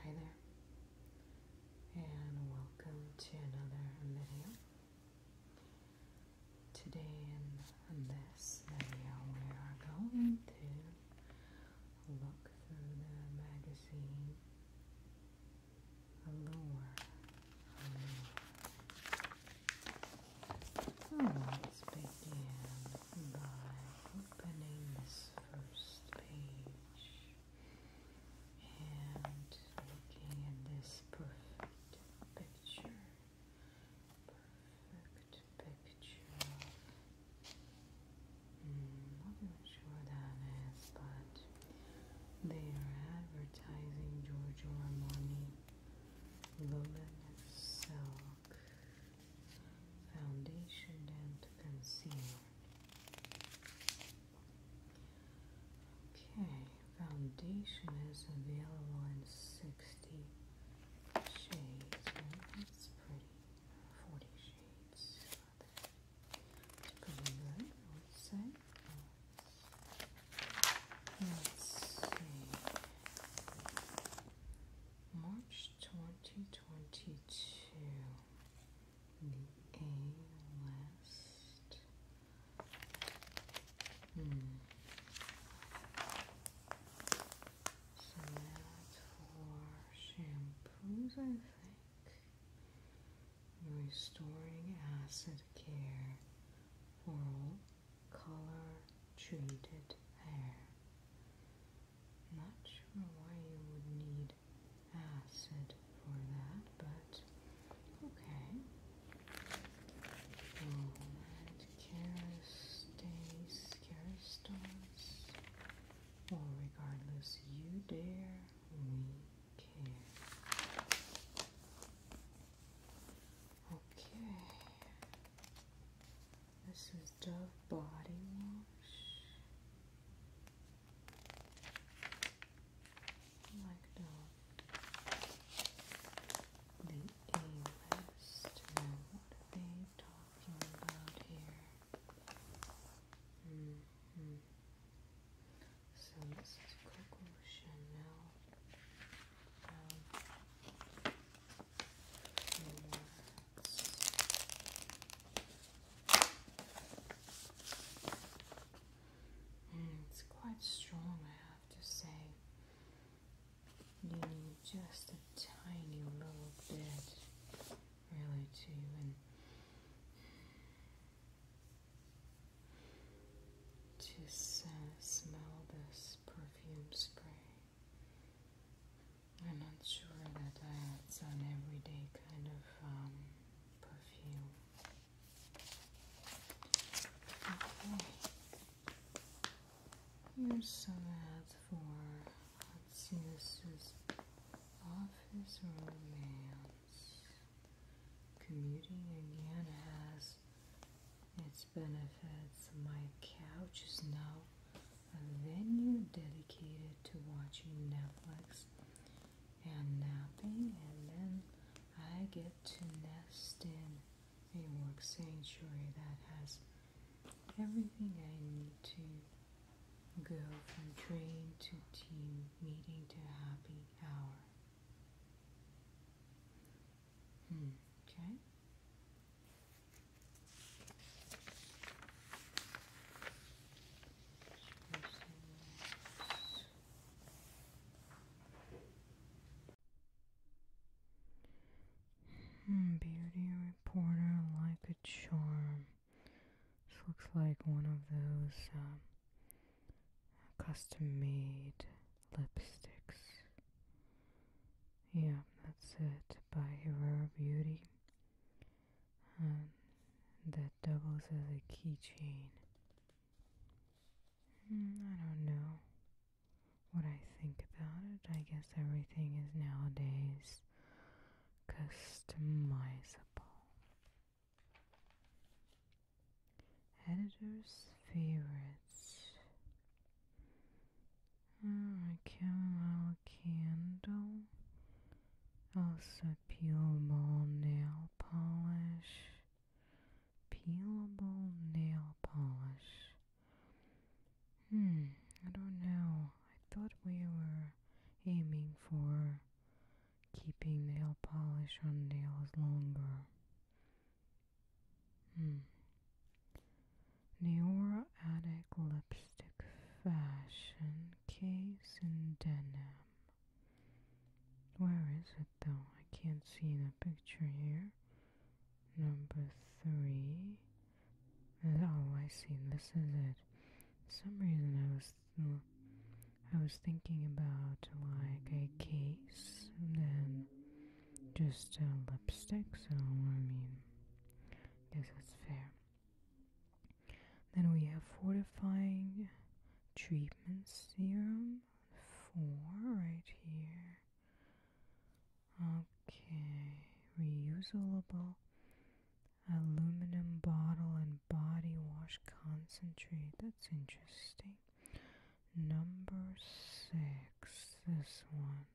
Hi there, and welcome to another video. Today, in this video, we are going to look through the magazine Allure. Hmm. let's begin by opening this first page and looking at this perfect picture, perfect picture. Hmm, not even sure that is, but they are advertising Giorgio Armani Lumen Silk foundation and concealer. Okay, foundation is available in 60 shades. that's pretty. 40 shades. pretty good, I would say. Let's see. 2022. The A list. So that's for shampoos, I think. Restoring acid care for color treated hair. Not sure why you would need acid for that, but okay. Alright, Kerastase, Kerastos. Well, regardless, you dare, we care. Okay. This is Dove Body Wash. like Dove. The A-list. What they talking about here? -hmm. So this is Coco Chanel. Um, it's quite strong, I have to say. You need just a tiny little bit, really, to even just smell this perfume spray. I'm not sure that I that's some everyday kind of um, perfume. Okay. Here's some ads for, let's see, this is Office Romance. Commuting again has its benefits my couch is now a venue dedicated to watching Netflix and napping, and then I get to nest in a work sanctuary that has everything I need to go from train to team meeting to happy hour. Hmm. Okay. Hmm, beardy reporter like a charm. This looks like one of those um, custom made lipsticks. Yeah, that's it by Rare Beauty. And that doubles as a keychain. Hmm, I don't know what I think about it. I guess everything is nowadays customizable. Editor's favorites. Oh, Alright, chamomile candle. Also peelable nail polish. Peelable nail polish. Hmm, I don't know. I thought we were aiming for keeping nail polish on nails longer. Hmm. Neora Attic lipstick fashion case in denim. Where is it though? I can't see the picture here. Number three. Oh, I see. This is it. some reason, I was I was thinking about like a case and then just a uh, lipstick, so I mean, this is fair. Then we have fortifying treatment serum four right here. Okay, reusable aluminum bottle and body wash concentrate. That's interesting. Number six, this one.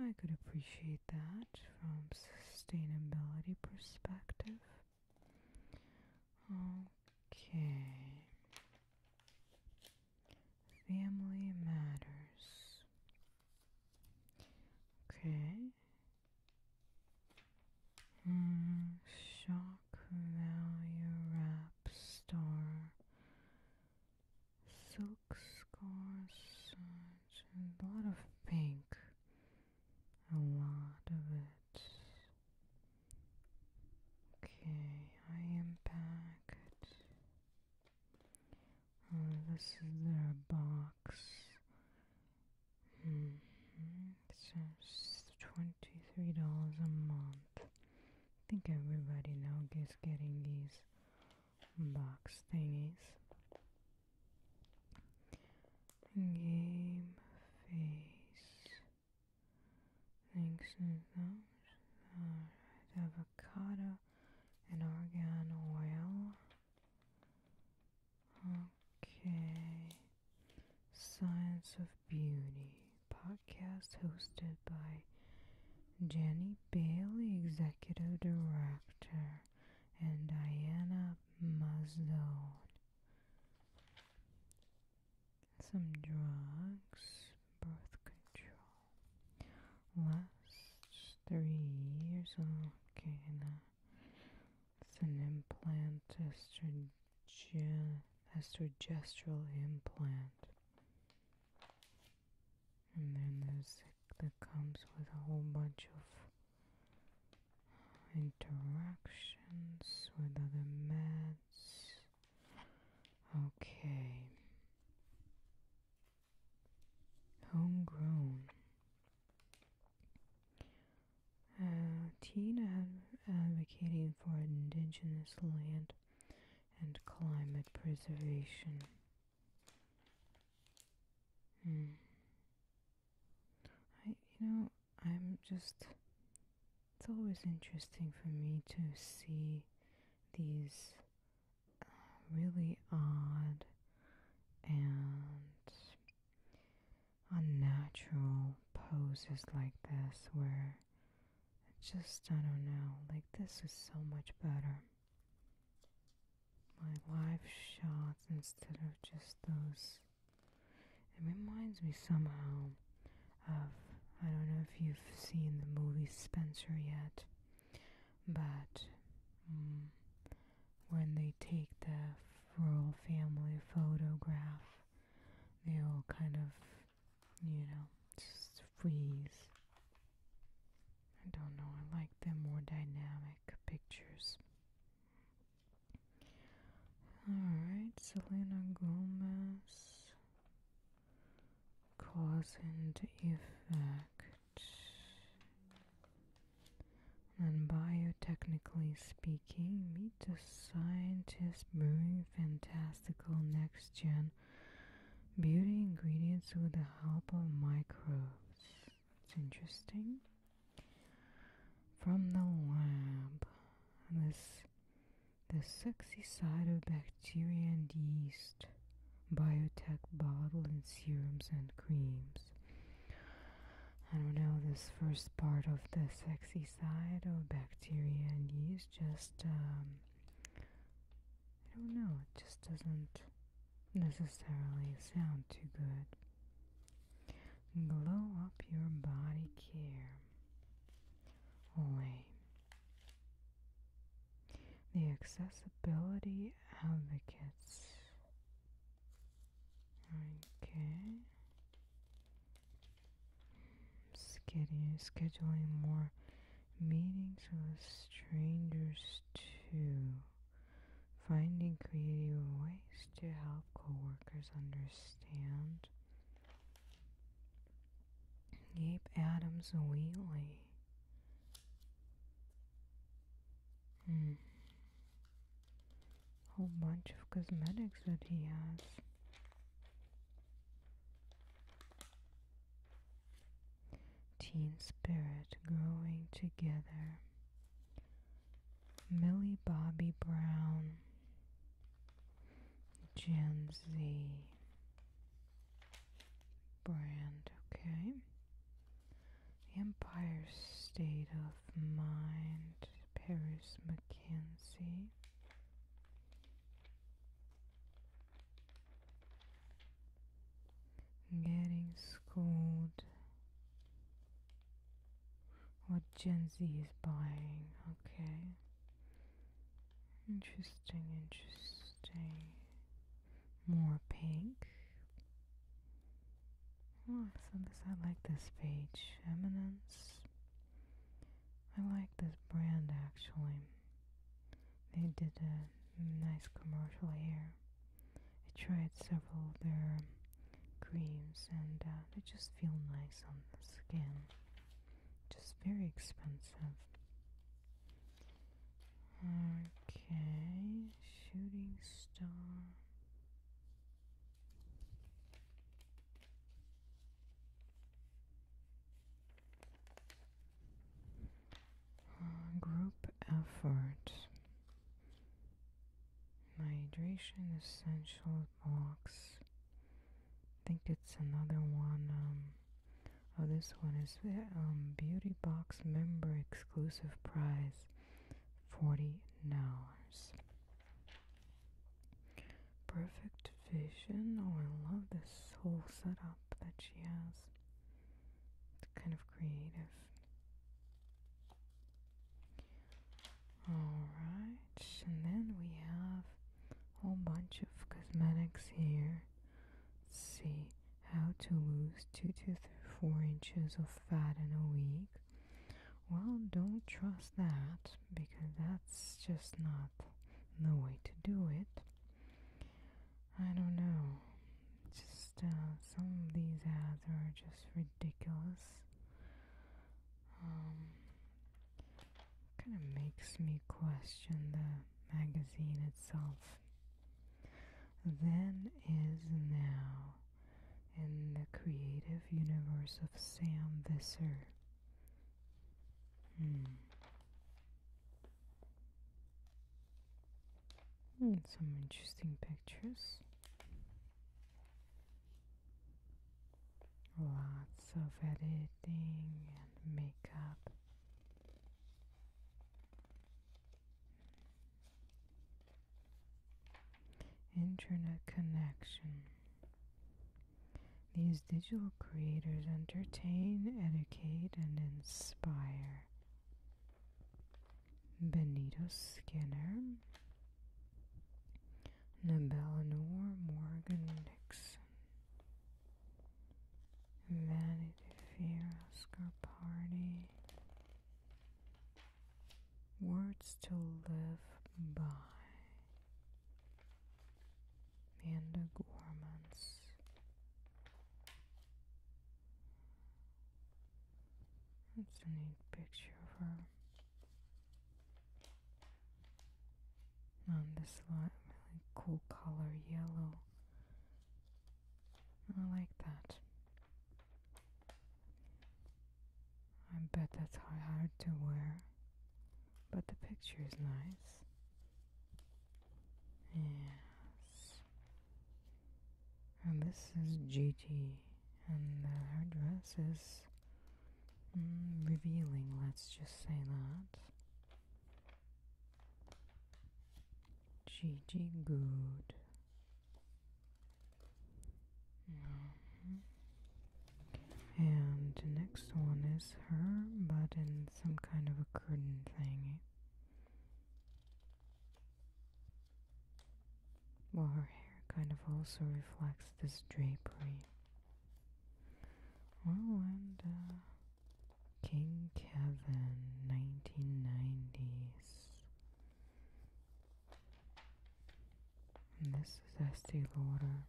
I could appreciate that from sustainability perspective. Okay. Family matters. Okay. Mm, shop Cromalia Rap Star, Silk Score Search, and a lot of pink. A lot of it. Okay, I am packed. Oh, this is their box. Mm -hmm. It's $23 a month. I think everybody now gets getting these box thingies. Game face. Thanks and those. Alright, avocado and argan oil. Okay. Science of Beauty podcast hosted by Jenny Bailey, Executive Director, and Diana Mazdone. Some drugs, birth control. Last three years, okay, now it's an implantist Estrogen implant. And then there's that comes with a whole bunch of interactions with other meds. Okay. Homegrown. Uh, Tina advocating for indigenous land and climate preservation. Hmm. I, you know, I'm just. It's always interesting for me to see these uh, really odd and unnatural poses like this where it's just, I don't know, like this is so much better. My live shots instead of just those. It reminds me somehow of, I don't know if you've seen the movie Spencer yet, but mm, when they take the royal family photograph they all kind of, you know, just freeze. I don't know, I like the more dynamic pictures. Alright, Selena Gomez. Cause and effect. And biotechnically speaking making. Meet the scientist brewing fantastical next gen beauty ingredients with the help of microbes. It's interesting. From the lab, this the sexy side of bacteria and yeast, biotech bottle and serums and creams. I don't know, this first part of the sexy side of bacteria and yeast just, um, I don't know, it just doesn't necessarily sound too good. Glow up your body care. Away. The accessibility advocates Okay. Scheduling, scheduling more meetings with strangers to Finding creative ways to help coworkers understand. Gabe Adams Wheatley. Hmm whole bunch of cosmetics that he has. Teen Spirit Growing Together. Millie Bobby Brown. Gen Z brand, okay. Empire State of Mind, Paris Mackenzie. Getting schooled. What Gen Z is buying, okay. Interesting, interesting. More pink. Oh, so this, I like this page. Eminence. I like this brand actually. They did a nice commercial here. I tried several of their creams and uh, they just feel nice on the skin. Just very expensive. Okay, shooting star. Uh, group effort. Hydration essential blocks. I think it's another one. Um, oh, this one is um, Beauty Box member exclusive prize. Forty dollars Perfect vision. Oh, I love this whole setup that she has. It's kind of creative. Alright, and then we have a whole bunch of cosmetics here. see how to lose 2 to 4 inches of fat in a week, well, don't trust that because that's just not the way to do it. I don't know. Just uh, some of these ads are just ridiculous. Um, kind of makes me question the magazine itself. Then is now in the creative universe of Sam Visser. Hmm. Hmm, some interesting pictures. Lots of editing and makeup. Internet connection. These digital creators entertain, educate, and inspire. Benito Skinner, Nabelanor Morgan Nixon, Vanity Fair Oscar Party, Words to live by. Amanda Gorman's. That's a neat picture of her. On this lot, really cool color yellow. I like that. I bet that's hard to wear, but the picture is nice. Yes. And this is Gigi, and her dress is mm, revealing, let's just say that. Gigi good. Mm-hmm. And the next one is her, but in some kind of a curtain thing. Well, her hair kind of also reflects this drapery. Well, and uh, King Kevin 1990s. this is Estee Lauder.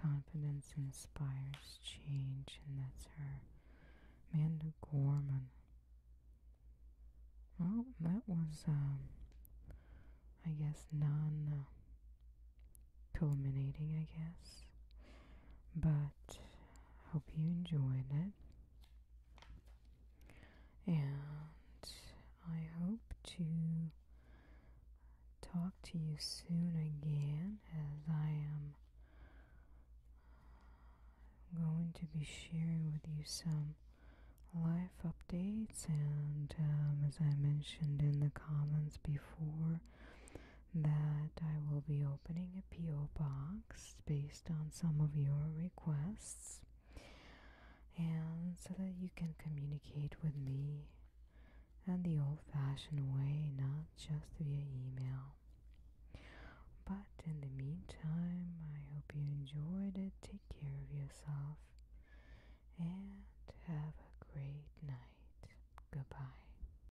Confidence inspires change, and that's her. Amanda Gorman. Well, that was, um, I guess, non uh, culminating, I guess. But Hope you enjoyed it. And I hope to talk to you soon again as I am going to be sharing with you some life updates and um, as I mentioned in the comments before that I will be opening a P.O. box based on some of your requests and so that you can communicate with me and the old fashioned way, not just via email. But in the meantime, I hope you enjoyed it. Take care of yourself and have a great night. Goodbye.